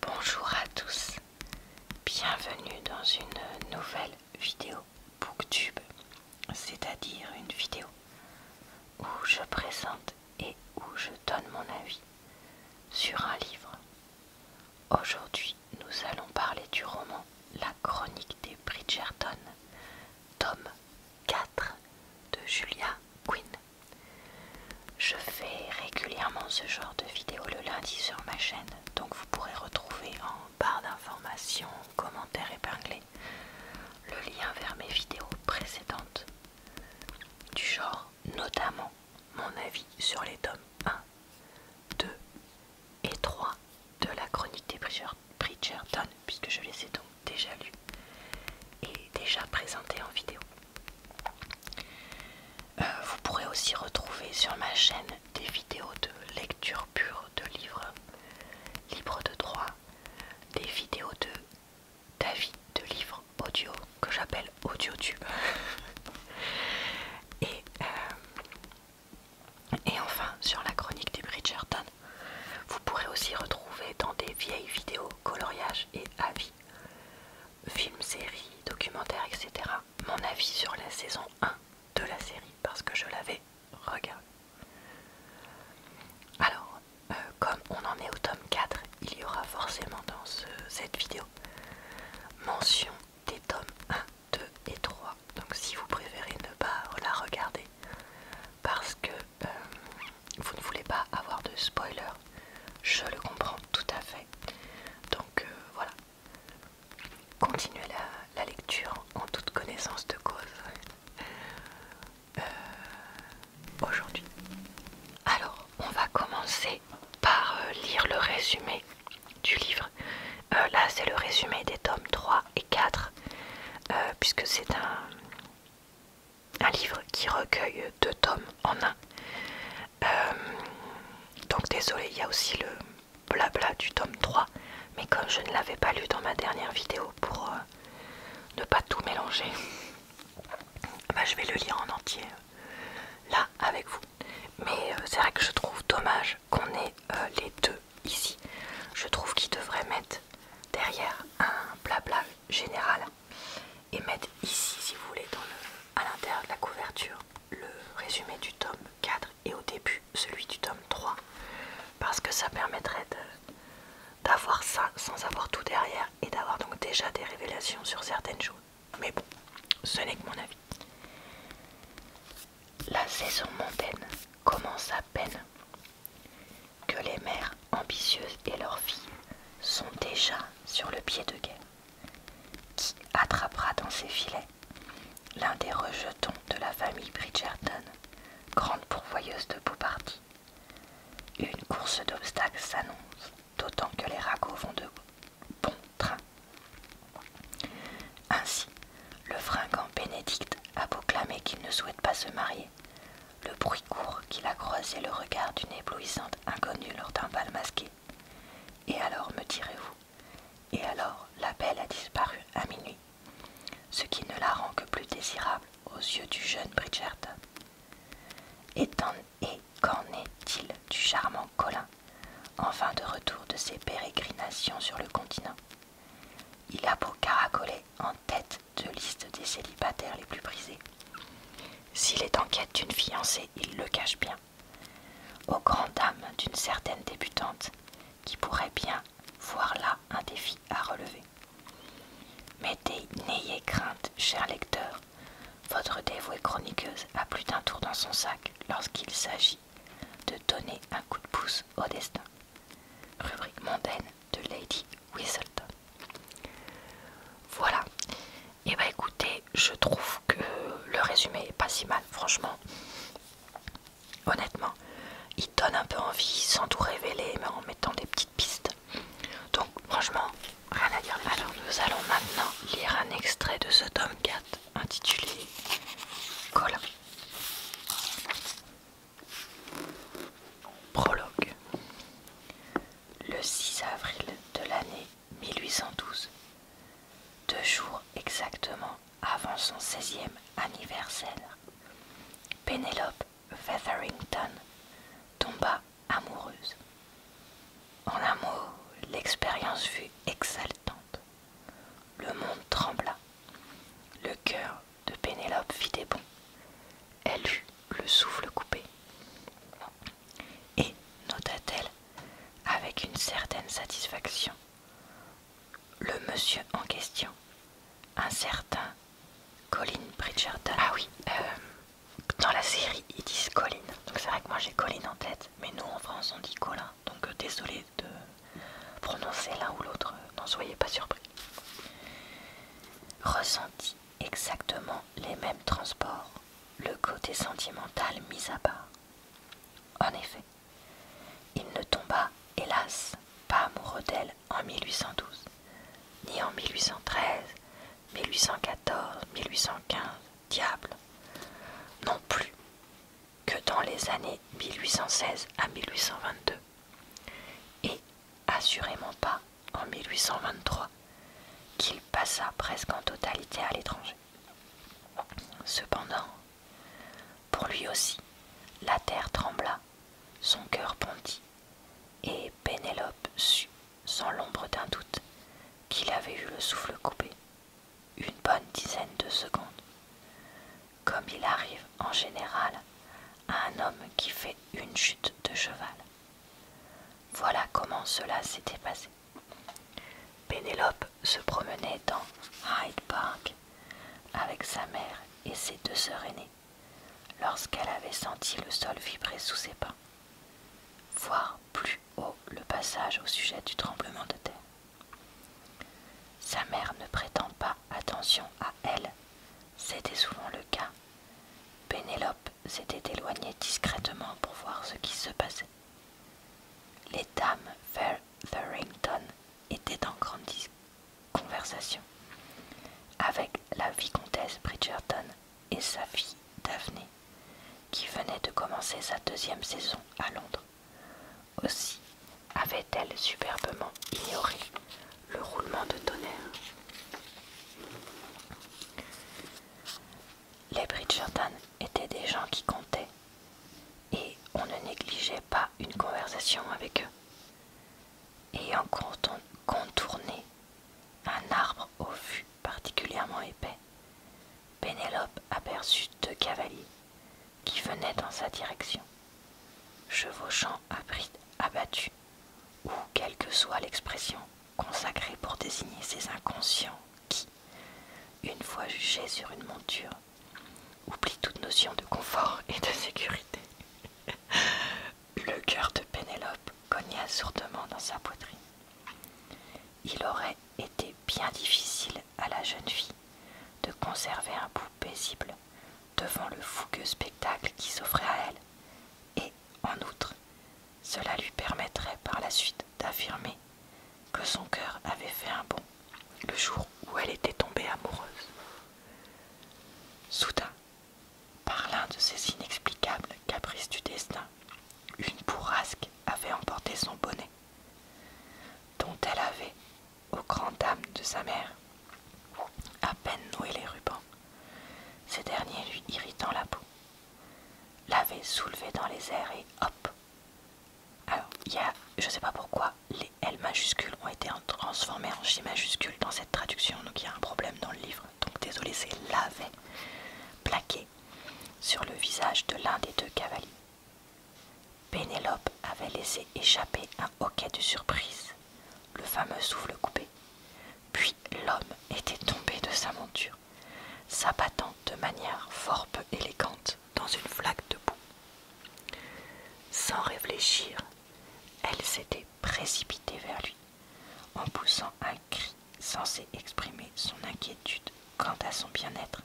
Bonjour à tous, bienvenue dans une nouvelle vidéo Booktube, c'est-à-dire une vidéo où je présente et où je donne mon avis sur un livre. Aujourd'hui, nous allons parler du roman La chronique des Bridgerton, tome 4 de Julia Quinn. Je fais régulièrement ce genre de vidéos le lundi sur ma chaîne, donc vous pourrez retrouver en barre d'informations, commentaires épinglés, le lien vers mes vidéos précédentes, du genre notamment mon avis sur les tomes 1, 2 et 3 de la chronique des Bridgerton, puisque je les ai donc déjà lus et déjà présentés en vidéo. Euh, vous pourrez aussi retrouver sur ma chaîne des vidéos de lecture pure de livres libres de droit, des vidéos de d'avis de livres audio que j'appelle AudioTube. et, euh, et enfin, sur la chronique des Bridgerton, vous pourrez aussi retrouver dans des vieilles vidéos coloriage et avis, films, séries, documentaires, etc. Mon avis sur la saison 1 de la série parce que je l'avais regardé. Alors, euh, comme on en est au tome 4, il y aura forcément dans cette vidéo mention des tomes 1, 2 et 3. Donc si vous préférez ne pas la regarder parce que euh, vous ne voulez pas avoir de spoiler je le comprends tout à fait. Donc euh, voilà. Continuez la, lecture en toute connaissance de cause. Euh, aujourd'hui. Alors, on va commencer par euh, lire le résumé du livre. là, c'est le résumé des tomes 3 et 4, puisque c'est un, un livre qui recueille deux tomes en un. Euh, donc désolé, il y a aussi le blabla du tome 3, mais comme je ne l'avais pas lu dans ma dernière vidéo pour euh, ne pas tout mélanger, bah, je vais le lire en entier là avec vous. Mais euh, c'est vrai que je trouve dommage qu'on ait les deux ici. Je trouve qu'ils devrait mettre derrière un blabla général et mettre ici si vous voulez à l'intérieur de la couverture le résumé du tome 4 et au début celui du tome 3 parce que ça permettrait d'avoir ça sans avoir tout derrière et d'avoir donc déjà des révélations sur certaines choses mais bon ce n'est que mon avis la saison mondaine commence à peine que les mères ambitieuses et leurs filles sont déjà sur le pied de guerre qui attrapera dans ses filets l'un des rejetons de la famille Bridgerton, grande pourvoyeuse de Boupardi. Une course d'obstacles s'annonce, d'autant que les ragots vont de bon train. Ainsi, le fringant Bénédicte a proclamé qu'il ne souhaite pas se marier, le bruit court qu'il a croisé le regard d'une éblouissante inconnue lors d'un bal masqué et alors, me direz-vous, et alors la belle a disparu à minuit, ce qui ne la rend que plus désirable aux yeux du jeune Bridgerton. Et, qu'en est-il du charmant Colin, en fin de retour de ses pérégrinations sur le continent Il a beau caracoler en tête de liste des célibataires les plus brisés. S'il est en quête d'une fiancée, il le cache bien. Au grand âme d'une certaine débutante qui pourrait bien voir là un défi à relever. Mais n'ayez crainte, cher lecteur, votre dévouée chroniqueuse a plus d'un tour dans son sac lorsqu'il s'agit de donner un coup de pouce au destin. Rubrique mondaine de Lady Whistleton. Voilà, et eh bah ben, écoutez, je trouve que le résumé est pas si mal, franchement. Honnêtement, il donne un peu envie sans tout révéler, mais en mettant des petites pistes. Donc, franchement, rien à dire. Alors, nous allons maintenant lire un extrait de ce tome 4 intitulé Colin. Prologue. Le 6 avril de l'année 1812, deux jours exactement avant son 16e anniversaire, Pénélope Featherington tomba amoureuse. En un mot, l'expérience fut exaltante. Le monde trembla. Le cœur de Pénélope fit des bonds. Elle eut le souffle coupé. Et, nota-t-elle, avec une certaine satisfaction, le monsieur en question, un certain Colin Bridgerton. Ah oui, euh, dans la série ils disent Colin, donc c'est vrai que moi j'ai Colin en tête, mais nous en France on dit Colin, donc euh, désolé de prononcer l'un ou l'autre, euh, n'en soyez pas surpris. Ressenti exactement les mêmes transports, le côté sentimental mis à part. En effet, il ne tomba, hélas, pas amoureux d'elle en 1812, ni en 1813, 1814, 1815, diable, non plus que dans les années 1816 à 1822, et assurément pas en 1823 qu'il passa presque en totalité à l'étranger. Cependant, pour lui aussi, la terre trembla, son cœur bondit, et Pénélope sut, sans l'ombre d'un doute, qu'il avait eu le souffle coupé, une bonne dizaine de secondes, comme il arrive en général à un homme qui fait une chute de cheval. Voilà comment cela s'était passé. Pénélope se promenait dans Hyde Park avec sa mère et ses deux sœurs aînées lorsqu'elle avait senti le sol vibrer sous ses pas, voire plus haut le passage au sujet du tremblement de terre. Sa mère ne prétend pas attention à elle, c'était souvent le cas. Pénélope S'était éloignée discrètement pour voir ce qui se passait. Les dames Farrington étaient en grande conversation avec la vicomtesse Bridgerton et sa fille Daphné, qui venait de commencer sa deuxième saison à Londres. Aussi avait-elle superbement ignoré le roulement de tonnerre. Les Bridgerton étaient des gens qui comptaient et on ne négligeait pas une conversation avec eux. Ayant contourné un arbre au fût particulièrement épais, Pénélope aperçut deux cavaliers qui venaient dans sa direction, chevauchant à bride ou quelle que soit l'expression consacré pour désigner ces inconscients qui, une fois jugés sur une monture, oublient toute notion de confort et de sécurité. Le cœur de Pénélope cogna sourdement dans sa poitrine. Il aurait été bien difficile à la jeune fille de conserver un bout paisible devant le fougueux spectacle qui s'offrait à elle, et, en outre, cela lui permettrait par la suite d'affirmer que son cœur avait fait un bond le jour où elle était tombée amoureuse. Soudain, par l'un de ces inexplicables caprices du destin, une bourrasque avait emporté son bonnet, dont elle avait, au grand âme de sa mère, à peine noué les rubans, ces derniers lui irritant la peau l'avait soulevé dans les airs et hop. Alors, il je sais pas pourquoi, les L majuscules ont été transformées en J majuscules dans cette traduction, donc il y a un problème dans le livre. Donc, désolé, c'est l'avait plaqué sur le visage de l'un des deux cavaliers. Pénélope avait laissé échapper un hoquet de surprise, le fameux souffle coupé. Puis l'homme était tombé de sa monture, s'abattant de manière fort peu élégante dans une flaque de boue. Sans réfléchir, elle s'était précipitée vers lui, en poussant un cri censé exprimer son inquiétude quant à son bien-être.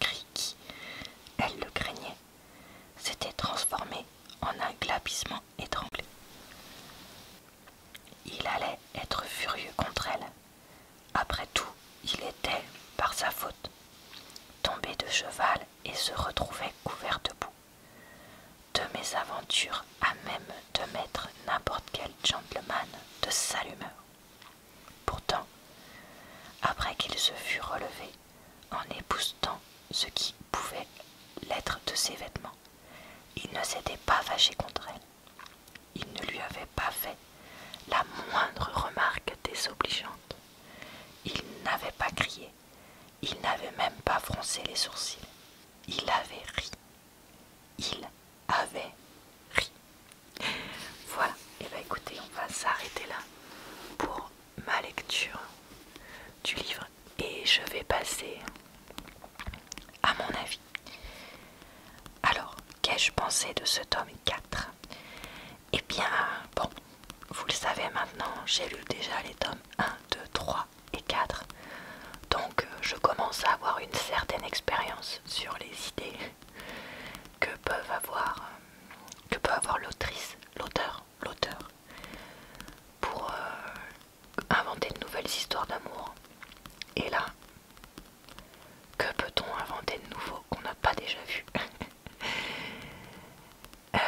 Cri qui, elle le craignait, s'était transformé en un glapissement il allait être furieux contre elle. Après tout, il était, par sa faute, tombé de cheval et se retrouvait couvert de boue. De mésaventure à même de mettre n'importe quel gentleman de sa humeur. Pourtant, après qu'il se fut relevé, en époustant ce qui pouvait l'être de ses vêtements, il ne s'était pas fâché contre elle. Il ne lui avait pas fait la moindre remarque désobligeante. Il n'avait pas crié. Il n'avait même pas froncé les sourcils. Il avait ri. Il avait ri. Voilà. Et eh bien écoutez, on va s'arrêter là pour ma lecture du livre et je vais passer à mon avis. Alors, qu'ai-je pensé de ce tome 4 Eh bien, bon, vous le savez maintenant, j'ai lu déjà les tomes 1, 2, 3 et 4. Donc, euh, je commence à avoir une certaine expérience sur les idées que peuvent avoir que peut avoir l'autrice, l'auteur, l'auteur pour euh, inventer de nouvelles histoires d'amour. Et là, que peut-on inventer de nouveau qu'on n'a pas déjà vu euh,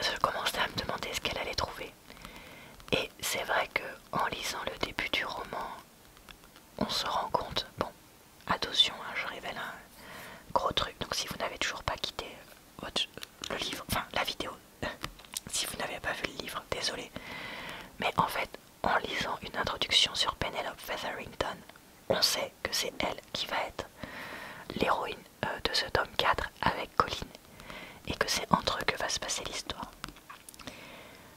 Je commençais à me demander ce qu'elle allait trouver. Et c'est vrai que en lisant le début du roman, on se rend compte, bon, attention, hein, je révèle un gros truc, donc si vous n'avez toujours pas quitté le livre, enfin la vidéo. si vous n'avez pas vu le livre, désolé. Mais en fait, en lisant une introduction sur Penelope Featherington, on sait que c'est elle qui va être l'héroïne euh, de ce tome 4 avec Colin et que c'est entre eux que va se passer l'histoire.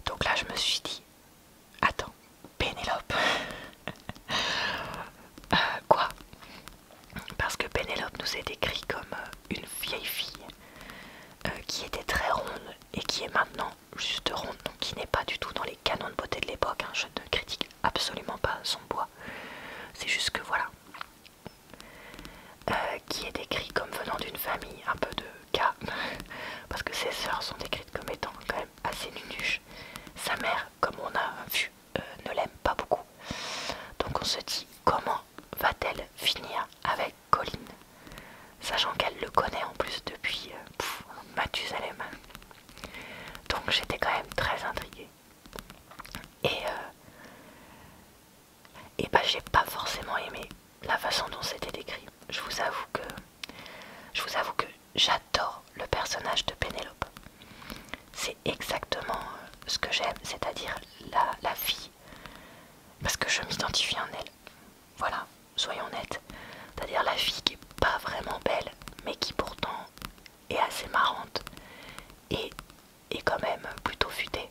Donc là, je me suis dit, attends, Penelope euh, quoi parce que Pénélope nous est décrite comme euh, une vieille fille euh, qui était très ronde et qui est maintenant juste ronde, donc qui n'est pas du tout dans les canons de beauté de l'époque. Hein. Je ne critique absolument pas son bois, c'est juste que voilà. Euh, qui est décrite comme venant d'une famille un peu de cas, parce que ses sœurs sont décrites comme étant quand même assez nunuches. Sa mère, comme on a vu, ne l'aime pas beaucoup. Donc on se dit comment va-t-elle finir avec Colin Sachant qu'elle le connaît en plus depuis euh, Mathusalem. Donc j'étais quand même très intriguée. Et, euh, et bah j'ai pas forcément aimé la façon dont c'était décrit. Je vous avoue que je vous avoue que j'adore le personnage de Pénélope. C'est exactement euh, ce que j'aime, c'est-à-dire la, la fille parce que je m'identifie en elle. Voilà, soyons honnêtes. C'est-à-dire la fille qui est pas vraiment belle, mais qui pourtant est assez marrante et est quand même plutôt futée.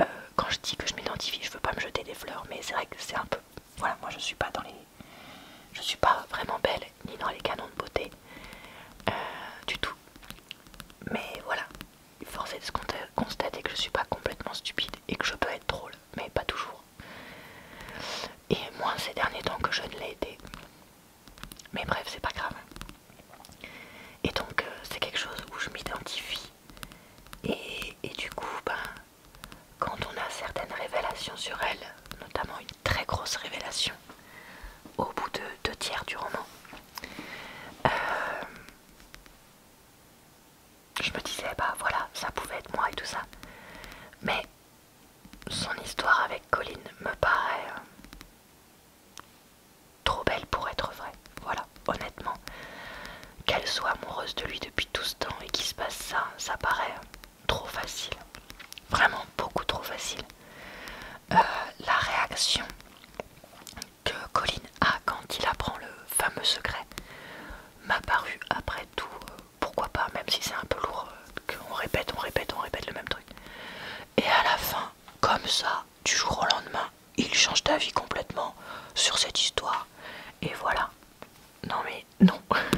Euh, quand je dis que je m'identifie, je ne veux pas me jeter des fleurs, mais c'est vrai que c'est un peu. Voilà, moi je suis pas dans les. Je suis pas vraiment belle, ni dans les canons de beauté, euh, du tout. Mais voilà, force de constater que je suis pas complètement stupide et que je peux être drôle, mais pas toujours. Et moins ces derniers temps que je ne l'ai été. Mais bref, c'est pas grave. Et donc, euh, c'est quelque chose où je m'identifie. Et, du coup, ben, quand on a certaines révélations sur elle, notamment une très grosse révélation, au bout de deux tiers du roman, euh, je me disais, bah voilà, ça pouvait être moi et tout ça. Mais son histoire avec Colin me paraît euh, trop belle pour être vraie. Voilà, honnêtement. Qu'elle soit amoureuse de lui depuis tout ce temps et qu'il se passe ça, ça paraît euh, trop facile. Vraiment beaucoup trop facile. la réaction que Colin a quand il apprend le fameux secret m'a paru après tout, euh, pourquoi pas, même si c'est un peu lourd, euh, qu'on répète, on répète, on répète le même truc. Et à la fin, comme ça, du jour au lendemain, il change d'avis complètement sur cette histoire. Et voilà. Non mais non.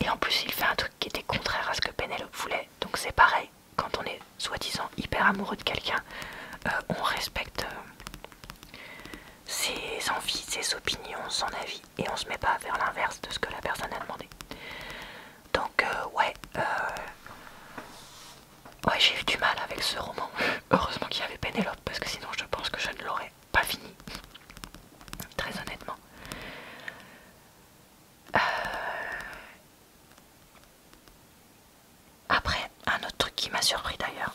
Et en plus, il fait un truc qui était contraire à ce que Penelope voulait. Donc c'est pareil, quand on est soi-disant hyper amoureux de quelqu'un, euh, on respecte euh, ses envies, ses opinions, son avis, et on se met pas vers l'inverse de ce que la personne a demandé. Donc euh, ouais, ouais j'ai eu du mal avec ce roman. Heureusement qu'il y avait Pénélope, parce que sinon je pense que je ne l'aurais pas fini. Très honnêtement. Après, un autre truc qui m'a surpris d'ailleurs,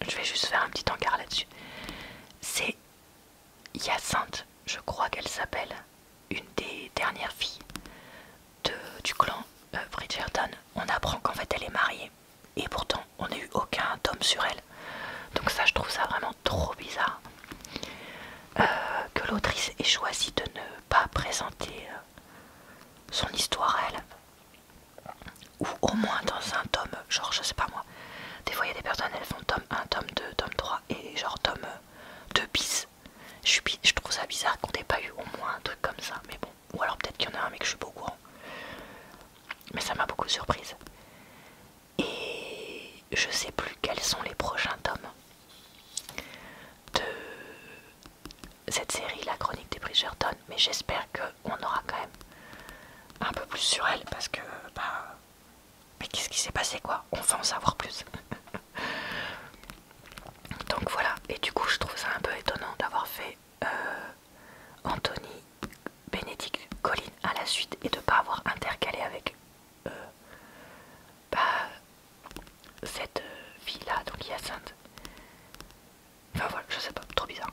je vais juste faire un petit encart là-dessus, c'est Hyacinthe, je crois qu'elle s'appelle, une des dernières filles du clan euh, Bridgerton. On apprend qu'en fait elle est mariée et pourtant on n'a eu aucun tome sur elle. Donc ça je trouve ça vraiment trop bizarre. Euh, que l'autrice ait choisi de ne pas présenter euh, son histoire elle ou au moins dans un tome, genre je sais pas moi. Des fois il y a des personnes, elles font tome 1, tome 2, tome 3 et genre tome 2 bis. Je, trouve ça bizarre qu'on n'ait pas eu au moins un truc comme ça, mais bon. Ou alors peut-être qu'il y en a un mais que je suis pas au courant. Mais ça m'a beaucoup surprise. Et je sais plus quels sont les prochains tomes de cette série, la chronique des Bridgerton, mais j'espère qu'on aura quand même un peu plus sur elle parce que bah mais qu'est-ce qui s'est passé quoi On va en savoir plus. Donc voilà, et du coup je trouve ça un peu étonnant d'avoir fait euh, Anthony, Bénédicte, Colline à la suite et de ne pas avoir intercalé avec euh, bah, cette fille là, donc Hyacinthe. Enfin voilà, je sais pas, trop bizarre.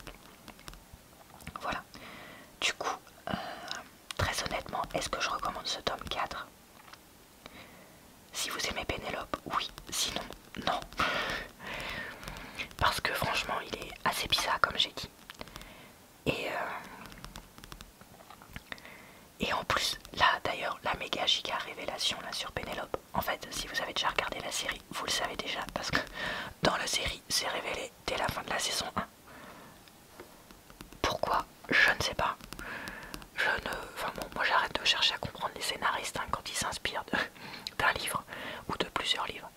Voilà. Du coup, euh, très honnêtement, est-ce que je recommande ce tome 4 Si vous aimez Pénélope, oui. Sinon, non. Parce que franchement, il est assez bizarre, comme j'ai dit. Et, euh, et en plus, là d'ailleurs, la méga giga révélation là sur Pénélope. En fait, si vous avez déjà regardé la série, vous le savez déjà parce que dans la série, c'est révélé dès la fin de la saison 1. Pourquoi Je ne sais pas. Je ne. Enfin bon, moi j'arrête de chercher à comprendre les scénaristes hein, quand ils s'inspirent d'un livre ou de plusieurs livres.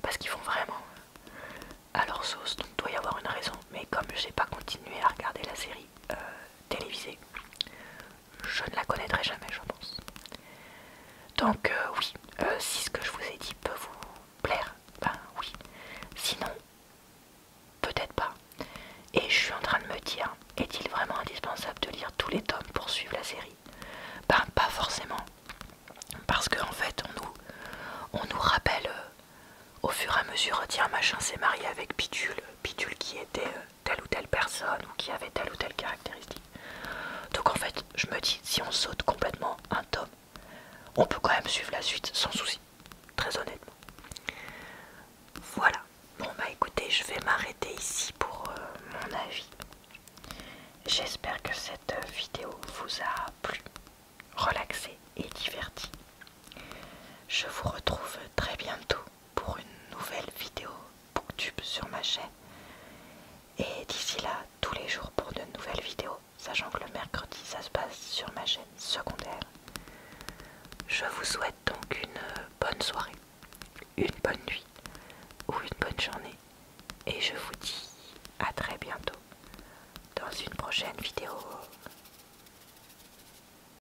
Parce qu'ils font vraiment euh, à leur sauce, donc doit y avoir une raison. Mais comme je n'ai pas continué à regarder la série euh, télévisée, je ne la connaîtrai jamais, je pense. Donc euh, oui, euh, si ce que je vous ai dit peut vous plaire, ben oui. Sinon, peut-être pas. Et je suis en train de me dire, est-il vraiment indispensable de lire tous les tomes pour suivre la série Ben pas forcément. Parce que en fait, on nous, on nous rappelle euh, au fur et à mesure, tiens machin s'est marié avec Pitule, Pitule qui était telle ou telle personne ou qui avait telle ou telle caractéristique. Donc en fait, je me dis, si on saute complètement un tome, on peut quand même suivre la suite sans souci, très honnêtement. Voilà, bon bah écoutez, je vais m'arrêter ici pour euh, mon avis. J'espère que cette euh, vidéo vous a plu, relaxé et diverti. Je vous retrouve très bientôt pour une nouvelle vidéo Booktube sur ma chaîne. Et d'ici là, tous les jours pour de nouvelles vidéos, sachant que le mercredi ça se passe sur ma chaîne secondaire. Je vous souhaite donc une bonne soirée, une bonne nuit ou une bonne journée. Et je vous dis à très bientôt dans une prochaine vidéo.